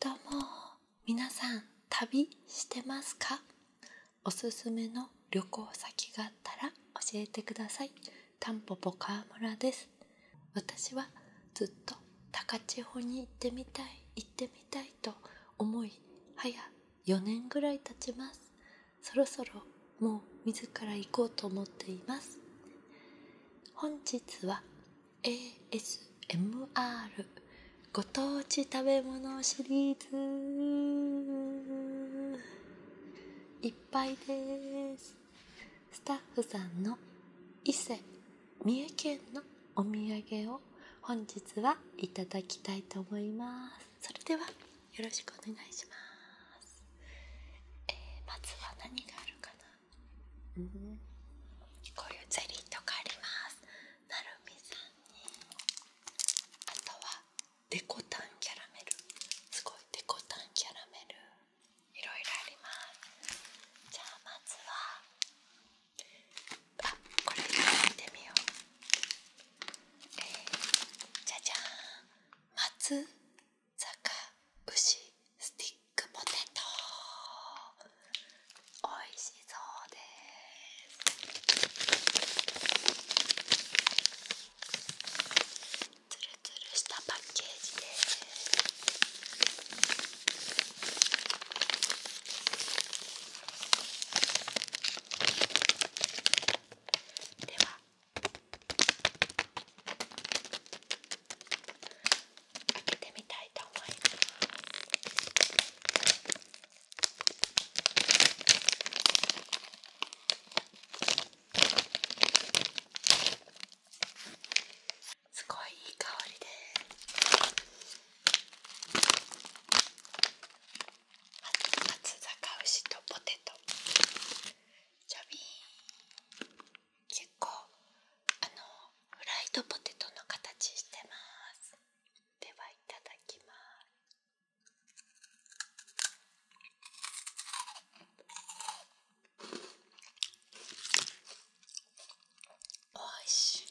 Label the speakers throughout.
Speaker 1: どうも皆さん旅してますかおすすめの旅行先があったら教えてくださいたんぽぽ川村です私はずっと高千穂に行ってみたい行ってみたいと思いはや4年ぐらい経ちますそろそろもう自ら行こうと思っています本日は ASMR ご当地食べ物シリーズいっぱいですスタッフさんの伊勢三重県のお土産を本日はいただきたいと思いますそれではよろしくお願いします、えまずは何があるかなこういうゼリーとかありますなるみさんにあとはデコタンキャラメルすごいデコタンキャラメルいろいろありますじゃあまずはあこれ見てみようえじゃじゃーん松坂牛スティックポテト美味しそうですつるつるしたパッケージですでは開けてみたいと思いますすごいいい香りで松坂牛とポテトちょびん結構あのフライドポテトの形してますではいただきますおいしい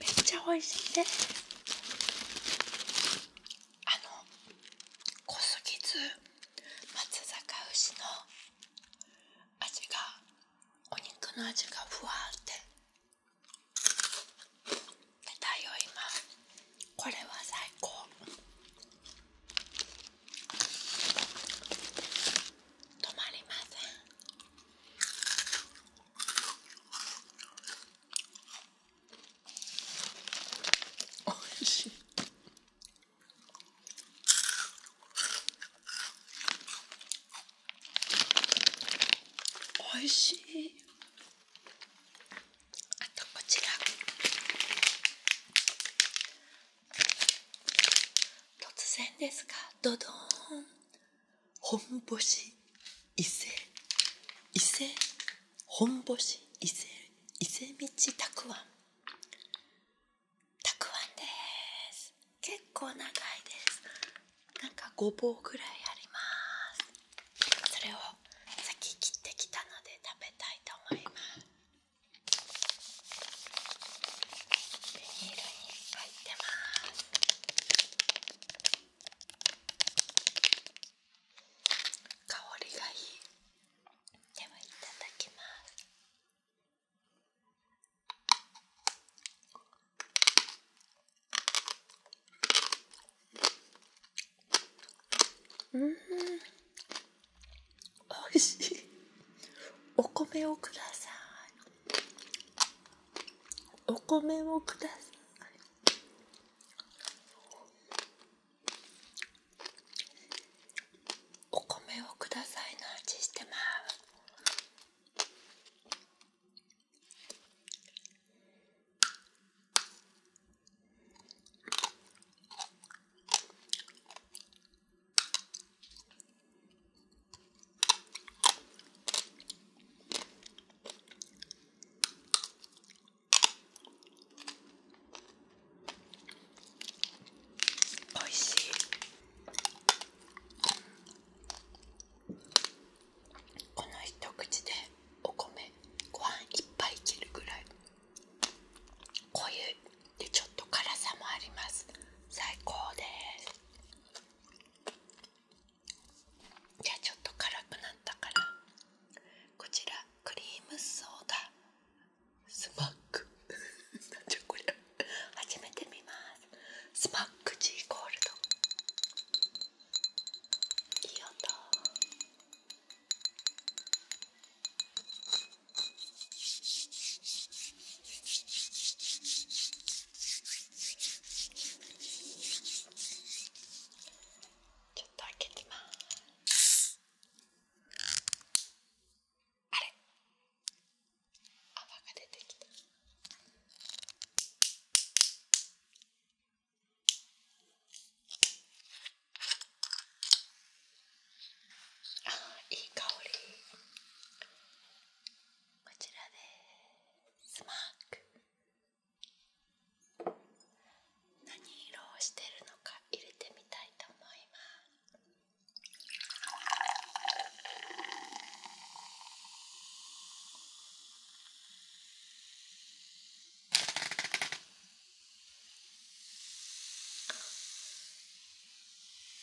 Speaker 1: めっちゃ美味しいであの濃すぎず松阪牛の味がお肉の味がふわって出たよ今これは最高止まりませんおいしいおいしいあとこちら突然ですがドドーン本星伊勢伊勢本星伊勢伊勢道たくあんたくあんです結構長いですなんかごぼうぐらいありますそれを先切ってきたので食べたいと思いますビニールに入ってます香りがいいではいただきますうんおいしいお米をくださいお米をくださいお米をくださいのちしてますおいしいこの一口でお米ご飯いっい切るぐらい濃ゆいでちょっと辛さもあります最高ですじゃあちょっと辛くなったからこちらクリームソーダスマックなじゃこれゃ初めて見ますスマックーゴールドいい音ちょっと開けてます泡が出てきたあいい香りこちらです。スマーク何色をしてるのか入れてみたいと思います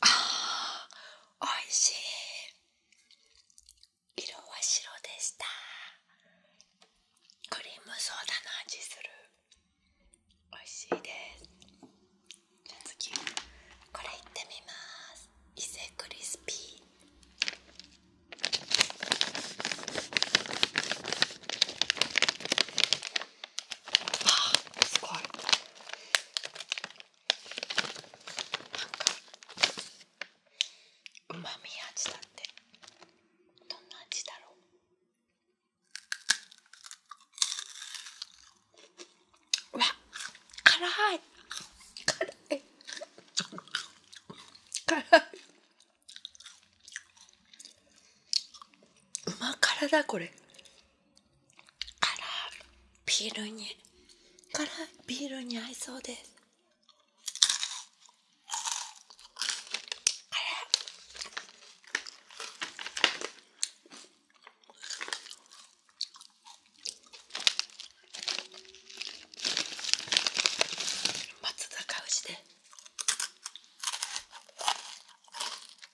Speaker 1: ああ、おいしい。色は白でした。クリームソーダの味する。おいしいです。じゃあ次、これいってみます。伊勢クリスピー。あすごいなかうまみ味だってどんな味だろううわ辛い辛い辛いうま辛だこれビールに辛いビールに合いそうです松坂牛で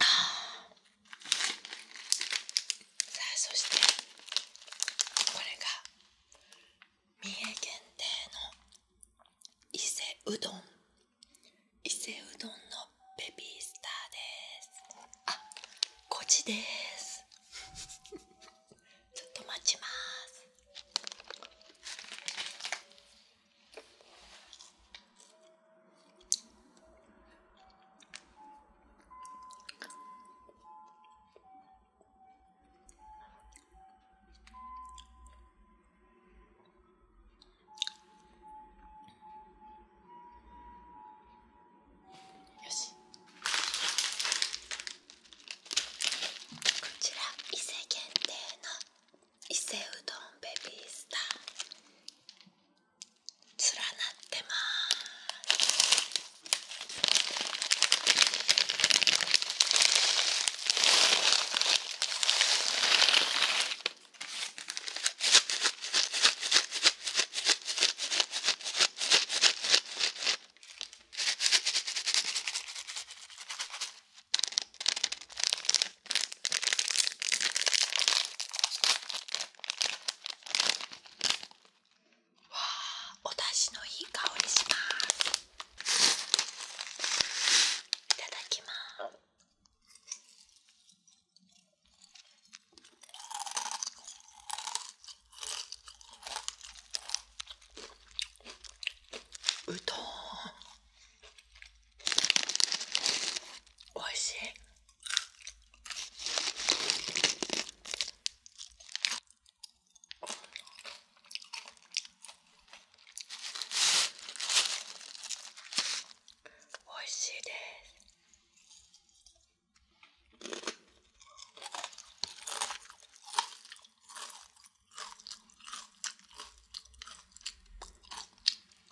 Speaker 1: あさあそしてこれが三重限定の伊勢うどん伊勢うどんのベビースターですあこっちですちょっと待ちますこちら伊勢限定の伊勢うどんベビースター連なってます。わあのいい香りしますいただきますうどんおいしいおいしいです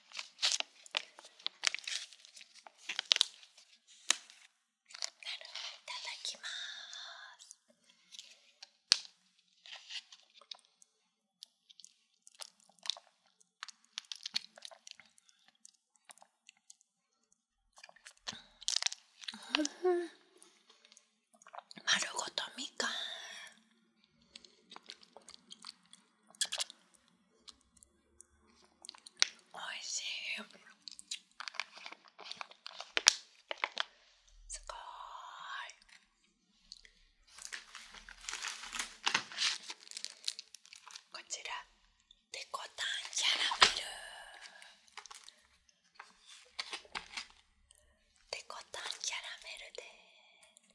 Speaker 1: いただきます。うん、丸ごとみかんおいしいすごいこちらデこたんキャラメルデコタンキャラメルです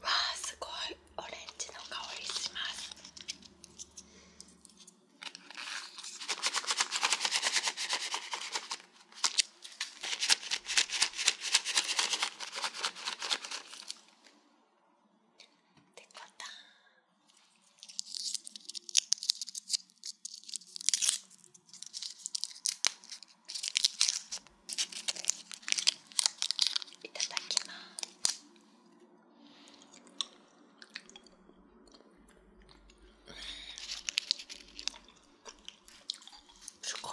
Speaker 1: わあすごいオレンジの香りしますってこといただきますすごい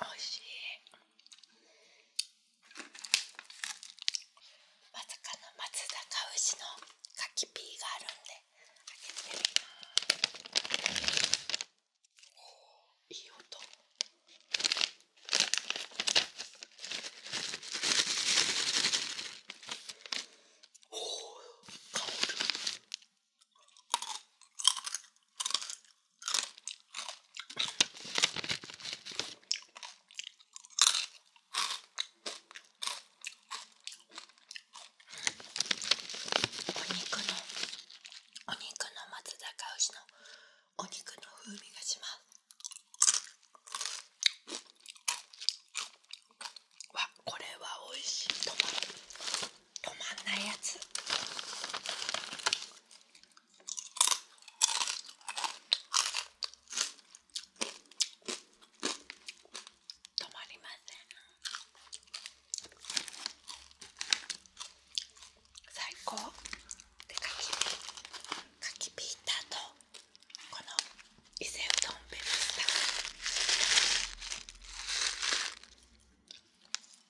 Speaker 1: おいしいわずかな松坂牛のかきピーがあるんであげてみますおいい音お香るお肉のお肉の松坂牛のお肉の風味がしますわこれは美味しいと思う止まんないやつ止まりません最高でかきかきピーたーとこの伊勢うとんべ。ビースタ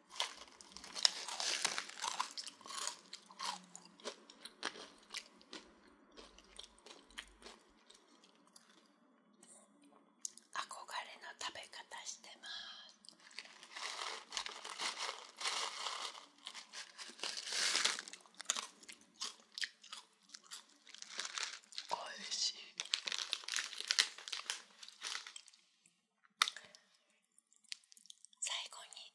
Speaker 1: 憧れの食べ方してます。おいしい最後に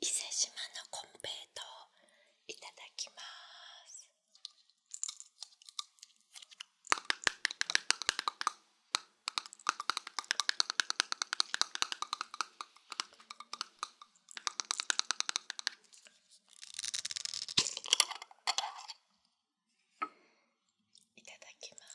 Speaker 1: 伊勢志摩の金平糖、いただきますいただきます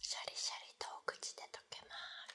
Speaker 1: シャリシャリとお口で溶けます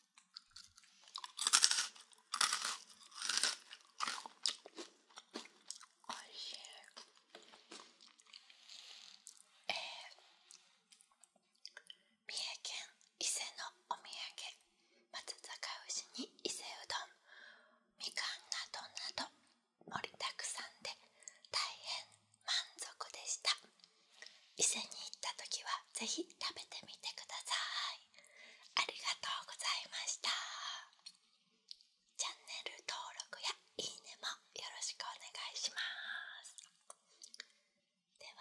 Speaker 1: 三重県伊勢のお土産松阪牛に伊勢うどんみかんなどなど盛りだくさんで大変満足でした伊勢に行った時はぜひ食べてみてくださいありがとうございましたチャンネル登録やいいねもよろしくお願いしますではね